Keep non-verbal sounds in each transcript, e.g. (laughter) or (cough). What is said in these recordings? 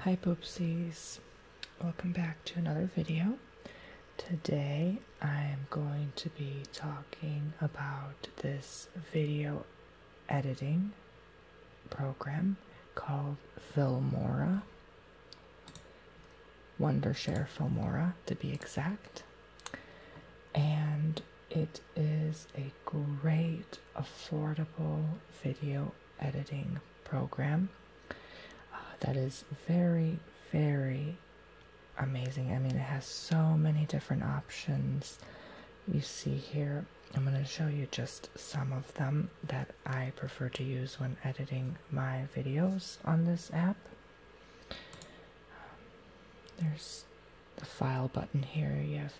Hi poopsies! welcome back to another video. Today I am going to be talking about this video editing program called Filmora. Wondershare Filmora to be exact. And it is a great affordable video editing program uh, that is very, very amazing. I mean, it has so many different options. You see here, I'm going to show you just some of them that I prefer to use when editing my videos on this app. Um, there's the file button here. Yes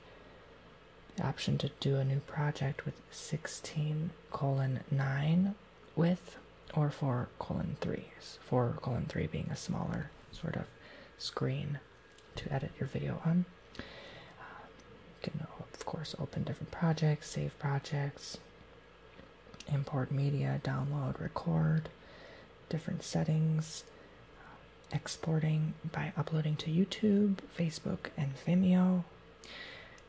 the option to do a new project with 16 colon 9 with or 4 colon threes. 4 colon 3 being a smaller sort of screen to edit your video on um, you can of course open different projects save projects import media download record different settings exporting by uploading to YouTube, Facebook, and Vimeo,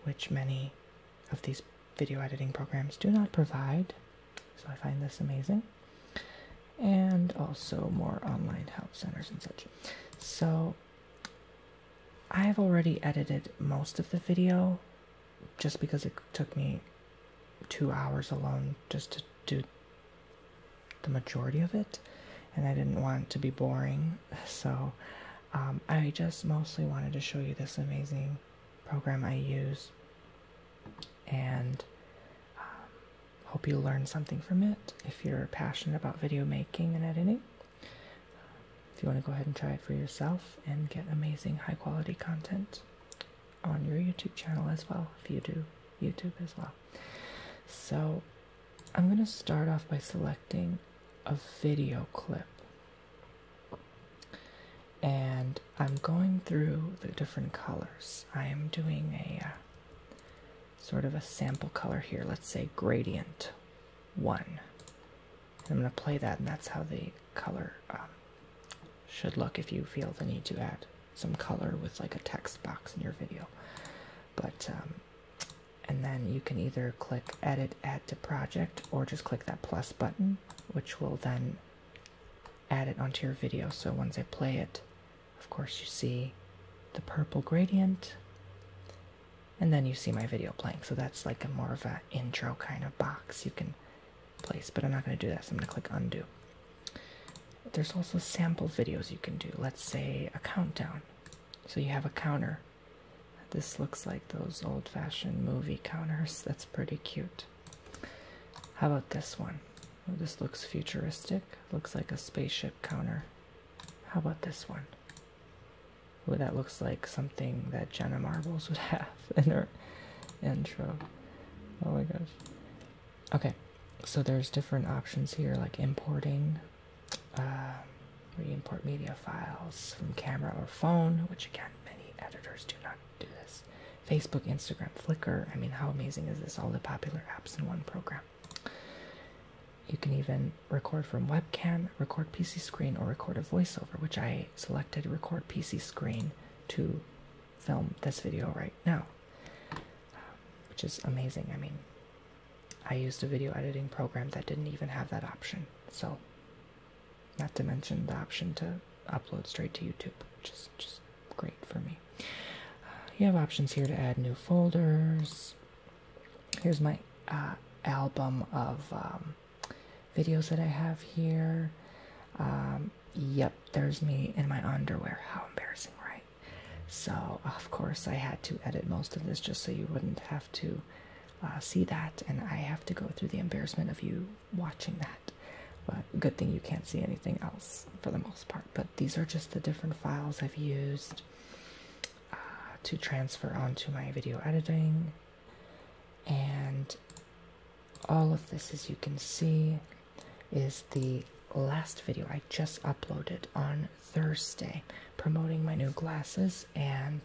which many of these video editing programs do not provide. So I find this amazing. And also more online help centers and such. So I've already edited most of the video just because it took me two hours alone just to do the majority of it, and I didn't want to be boring, so um, I just mostly wanted to show you this amazing program I use and um, hope you learn something from it if you're passionate about video making and editing. If you want to go ahead and try it for yourself and get amazing high quality content on your YouTube channel as well, if you do YouTube as well. So, I'm going to start off by selecting a video clip. And I'm going through the different colors. I am doing a uh, sort of a sample color here. Let's say gradient one. I'm going to play that, and that's how the color um, should look if you feel the need to add some color with like a text box in your video but um, and then you can either click edit add to project or just click that plus button which will then add it onto your video so once I play it of course you see the purple gradient and then you see my video playing so that's like a more of a intro kind of box you can place but I'm not going to do that so I'm going to click undo there's also sample videos you can do. Let's say a countdown. So you have a counter. This looks like those old fashioned movie counters. That's pretty cute. How about this one? Oh, this looks futuristic. Looks like a spaceship counter. How about this one? Ooh, that looks like something that Jenna Marbles would (laughs) have in her intro. Oh my gosh. Okay, so there's different options here like importing, uh, um, we import media files from camera or phone, which again, many editors do not do this. Facebook, Instagram, Flickr. I mean, how amazing is this? All the popular apps in one program. You can even record from webcam, record PC screen, or record a voiceover, which I selected record PC screen to film this video right now, um, which is amazing. I mean, I used a video editing program that didn't even have that option. So, not to mention the option to upload straight to YouTube, which is just great for me. Uh, you have options here to add new folders. Here's my uh, album of um, videos that I have here. Um, yep, there's me in my underwear. How embarrassing, right? So, of course, I had to edit most of this just so you wouldn't have to uh, see that, and I have to go through the embarrassment of you watching that. But good thing you can't see anything else for the most part. But these are just the different files I've used uh, to transfer onto my video editing, and all of this, as you can see, is the last video I just uploaded on Thursday promoting my new glasses and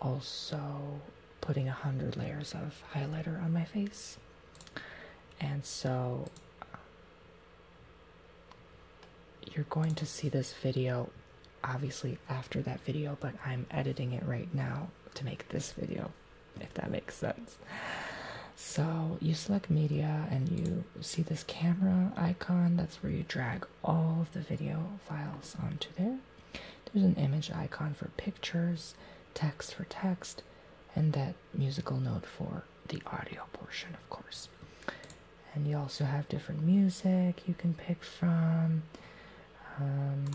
also putting a hundred layers of highlighter on my face. And so you're going to see this video obviously after that video, but I'm editing it right now to make this video, if that makes sense. So you select media and you see this camera icon. That's where you drag all of the video files onto there. There's an image icon for pictures, text for text, and that musical note for the audio portion, of course. And you also have different music you can pick from. Um,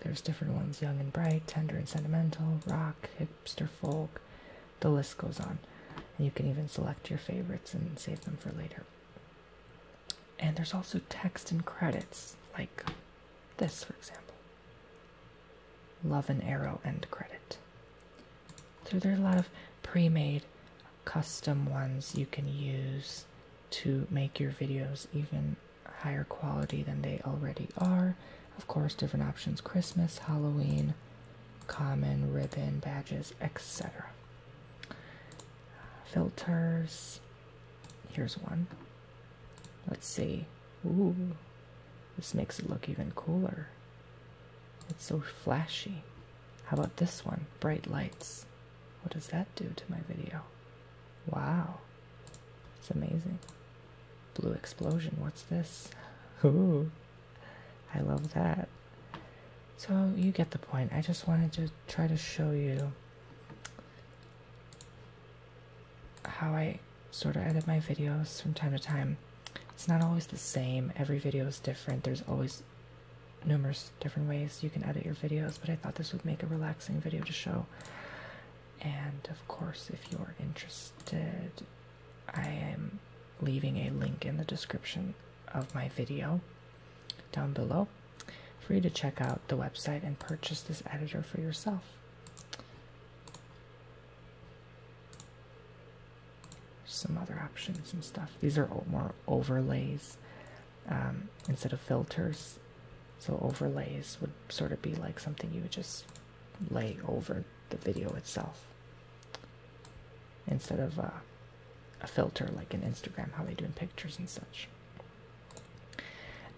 there's different ones young and bright, tender and sentimental, rock, hipster folk, the list goes on. And you can even select your favorites and save them for later. And there's also text and credits, like this, for example. Love and arrow end credit. So there's a lot of pre-made custom ones you can use to make your videos even higher quality than they already are of course, different options Christmas, Halloween, common, ribbon, badges, etc. Filters. Here's one. Let's see. Ooh, this makes it look even cooler. It's so flashy. How about this one? Bright lights. What does that do to my video? Wow, it's amazing. Blue explosion. What's this? Ooh, I love that. So you get the point. I just wanted to try to show you how I sort of edit my videos from time to time. It's not always the same. Every video is different. There's always numerous different ways you can edit your videos, but I thought this would make a relaxing video to show. And of course, if you're interested I am leaving a link in the description of my video down below for you to check out the website and purchase this editor for yourself. Some other options and stuff. These are more overlays um, instead of filters. So, overlays would sort of be like something you would just lay over the video itself instead of uh, a filter like in Instagram, how they do in pictures and such.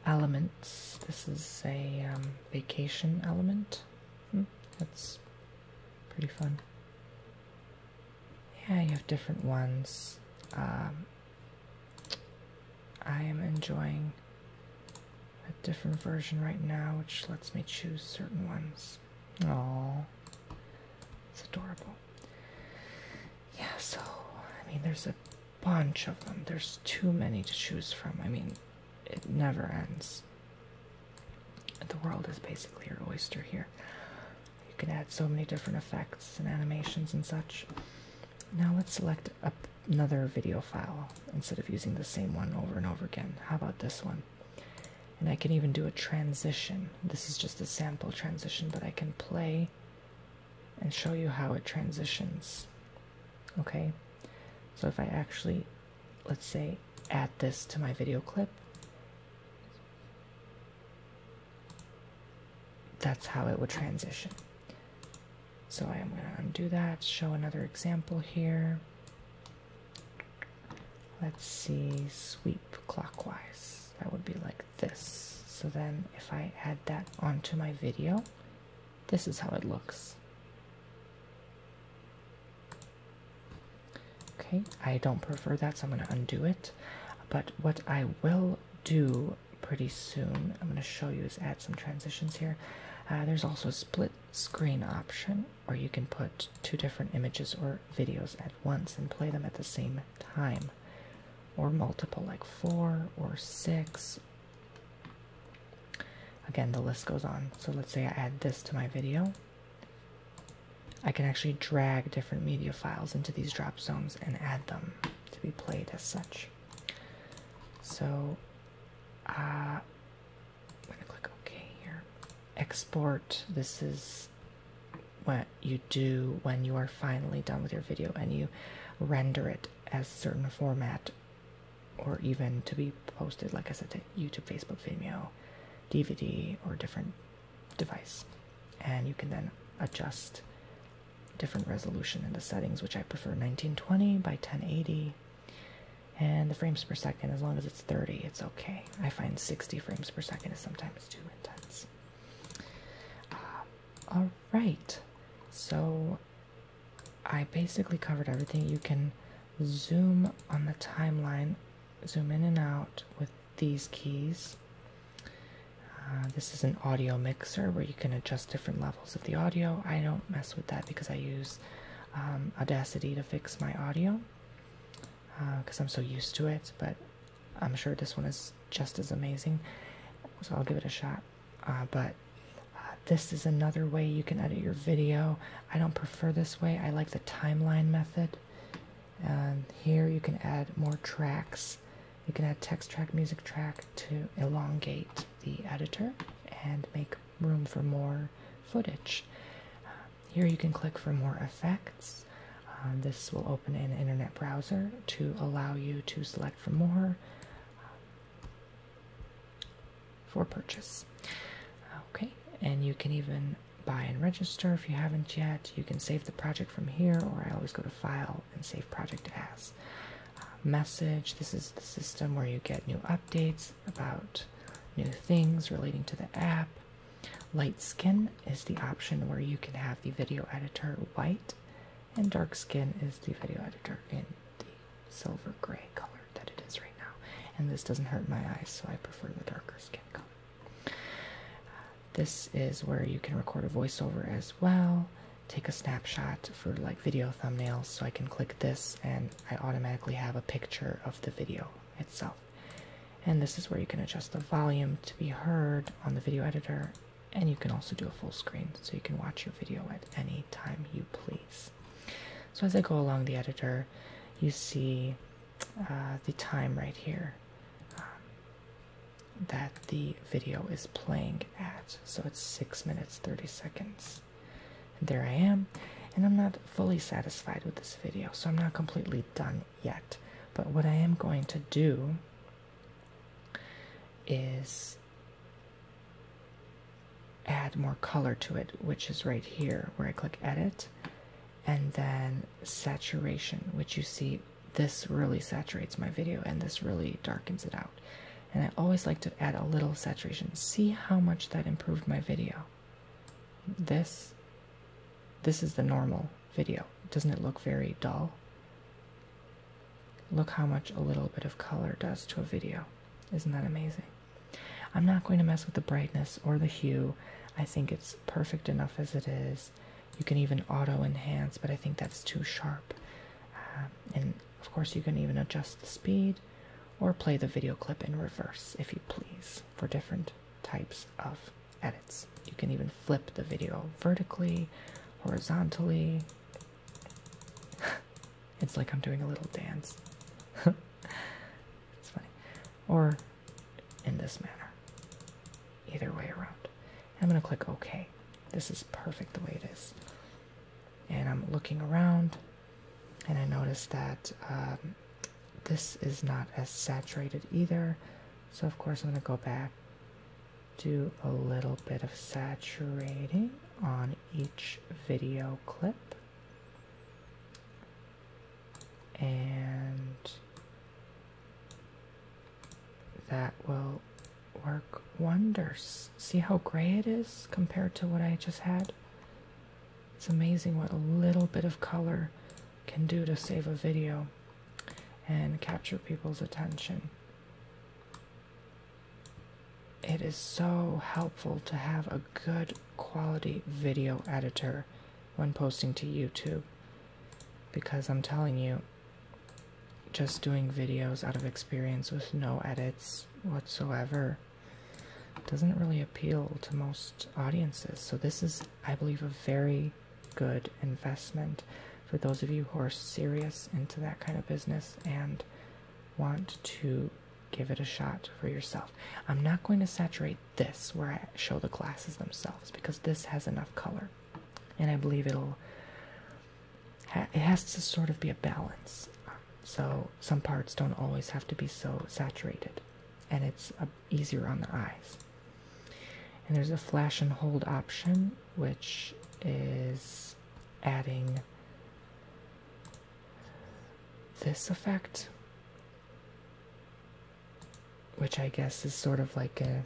Elements. This is a um, vacation element. Hmm, that's pretty fun. Yeah, you have different ones. Um, I am enjoying a different version right now, which lets me choose certain ones. Oh, it's adorable. Yeah, so I mean, there's a bunch of them. There's too many to choose from. I mean, it never ends. The world is basically your oyster here. You can add so many different effects and animations and such. Now let's select another video file instead of using the same one over and over again. How about this one? And I can even do a transition. This is just a sample transition, but I can play and show you how it transitions. Okay? So if I actually, let's say, add this to my video clip, that's how it would transition. So I am going to undo that, show another example here. Let's see, sweep clockwise. That would be like this. So then if I add that onto my video, this is how it looks. Okay, I don't prefer that, so I'm going to undo it. But what I will do pretty soon, I'm going to show you is add some transitions here. Uh, there's also a split screen option or you can put two different images or videos at once and play them at the same time, or multiple, like four or six. Again, the list goes on. So let's say I add this to my video. I can actually drag different media files into these drop zones and add them to be played as such. So uh, I'm going to click OK here. Export. This is what you do when you are finally done with your video and you render it as certain format or even to be posted, like I said, to YouTube, Facebook, Vimeo, DVD, or different device. And you can then adjust different resolution in the settings, which I prefer 1920 by 1080 and the frames per second, as long as it's 30, it's okay. I find 60 frames per second is sometimes too intense. Um, all right, so I basically covered everything. You can zoom on the timeline, zoom in and out with these keys. Uh, this is an audio mixer where you can adjust different levels of the audio. I don't mess with that because I use um, audacity to fix my audio because uh, I'm so used to it, but I'm sure this one is just as amazing, so I'll give it a shot. Uh, but uh, this is another way you can edit your video. I don't prefer this way, I like the timeline method. And here you can add more tracks. You can add text track, music track to elongate the editor and make room for more footage. Um, here you can click for more effects. Um, this will open an internet browser to allow you to select for more um, for purchase. Okay, and you can even buy and register if you haven't yet. You can save the project from here, or I always go to File and Save Project As. Uh, message, this is the system where you get new updates about new things relating to the app. Light skin is the option where you can have the video editor white, and dark skin is the video editor in the silver gray color that it is right now. And this doesn't hurt my eyes, so I prefer the darker skin color. Uh, this is where you can record a voiceover as well. Take a snapshot for like video thumbnails, so I can click this and I automatically have a picture of the video itself. And this is where you can adjust the volume to be heard on the video editor, and you can also do a full screen so you can watch your video at any time you please. So, as I go along the editor, you see uh, the time right here um, that the video is playing at. So, it's 6 minutes 30 seconds there I am, and I'm not fully satisfied with this video, so I'm not completely done yet. But what I am going to do is add more color to it, which is right here where I click edit and then saturation, which you see this really saturates my video and this really darkens it out and I always like to add a little saturation. See how much that improved my video. This this is the normal video. Doesn't it look very dull? Look how much a little bit of color does to a video. Isn't that amazing? I'm not going to mess with the brightness or the hue. I think it's perfect enough as it is. You can even auto enhance, but I think that's too sharp. Uh, and of course, you can even adjust the speed or play the video clip in reverse if you please for different types of edits. You can even flip the video vertically, horizontally. (laughs) it's like I'm doing a little dance. (laughs) it's funny. Or in this manner. Either way around. I'm going to click OK. This is perfect the way it is. And I'm looking around and I notice that um, this is not as saturated either. So of course I'm going to go back, do a little bit of saturating on each video clip. And that will work wonders. See how gray it is compared to what I just had? It's amazing what a little bit of color can do to save a video and capture people's attention. It is so helpful to have a good quality video editor when posting to YouTube because I'm telling you, just doing videos out of experience with no edits whatsoever doesn't really appeal to most audiences. So, this is, I believe, a very good investment for those of you who are serious into that kind of business and want to give it a shot for yourself. I'm not going to saturate this where I show the glasses themselves because this has enough color. And I believe it'll, it has to sort of be a balance so some parts don't always have to be so saturated and it's uh, easier on the eyes and there's a flash and hold option which is adding this effect which i guess is sort of like a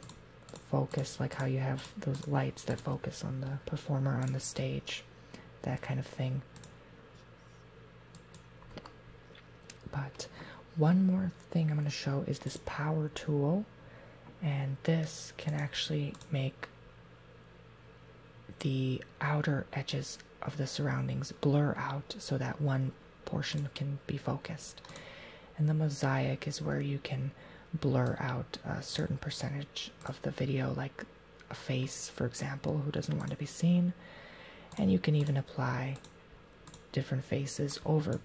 focus like how you have those lights that focus on the performer on the stage that kind of thing but one more thing I'm going to show is this power tool, and this can actually make the outer edges of the surroundings blur out so that one portion can be focused. And the mosaic is where you can blur out a certain percentage of the video, like a face, for example, who doesn't want to be seen. And you can even apply different faces over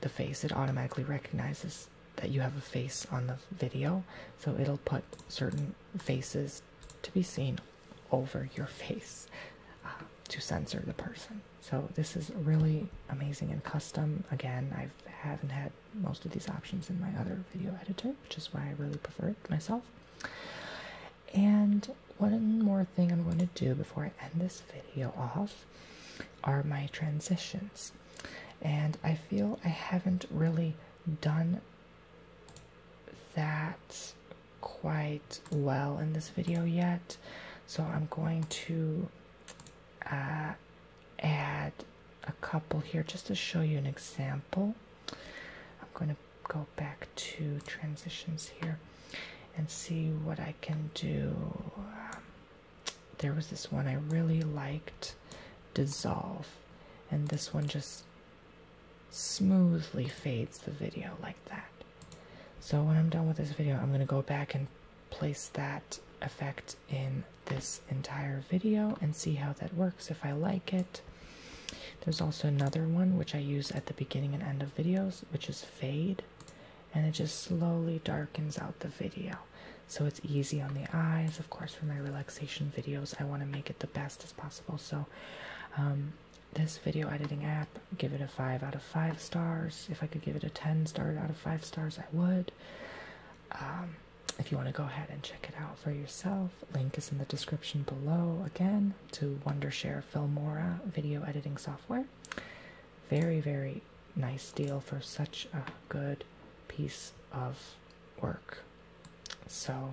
the face. It automatically recognizes that you have a face on the video, so it'll put certain faces to be seen over your face uh, to censor the person. So this is really amazing and custom. Again, I haven't had most of these options in my other video editor, which is why I really prefer it myself. And one more thing I'm going to do before I end this video off are my transitions. And I feel I haven't really done that quite well in this video yet, so I'm going to uh, add a couple here just to show you an example. I'm going to go back to transitions here and see what I can do. Um, there was this one I really liked, Dissolve, and this one just smoothly fades the video like that. So when I'm done with this video, I'm going to go back and place that effect in this entire video and see how that works if I like it. There's also another one which I use at the beginning and end of videos, which is fade, and it just slowly darkens out the video. So it's easy on the eyes. Of course, for my relaxation videos, I want to make it the best as possible. So, um, this video editing app, give it a 5 out of 5 stars. If I could give it a 10 star out of 5 stars, I would. Um, if you want to go ahead and check it out for yourself, link is in the description below again to Wondershare Filmora video editing software. Very, very nice deal for such a good piece of work. So,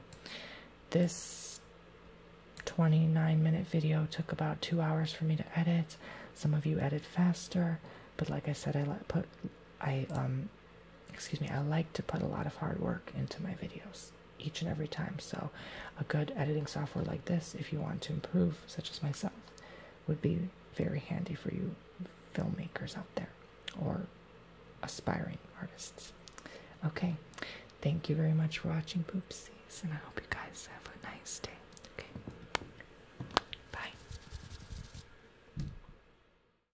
this 29 minute video took about two hours for me to edit. Some of you edit faster, but like I said, I put I um excuse me, I like to put a lot of hard work into my videos each and every time. So, a good editing software like this, if you want to improve, such as myself, would be very handy for you filmmakers out there or aspiring artists. Okay, thank you very much for watching Poopsies, and I hope you guys have a nice day. Okay, bye.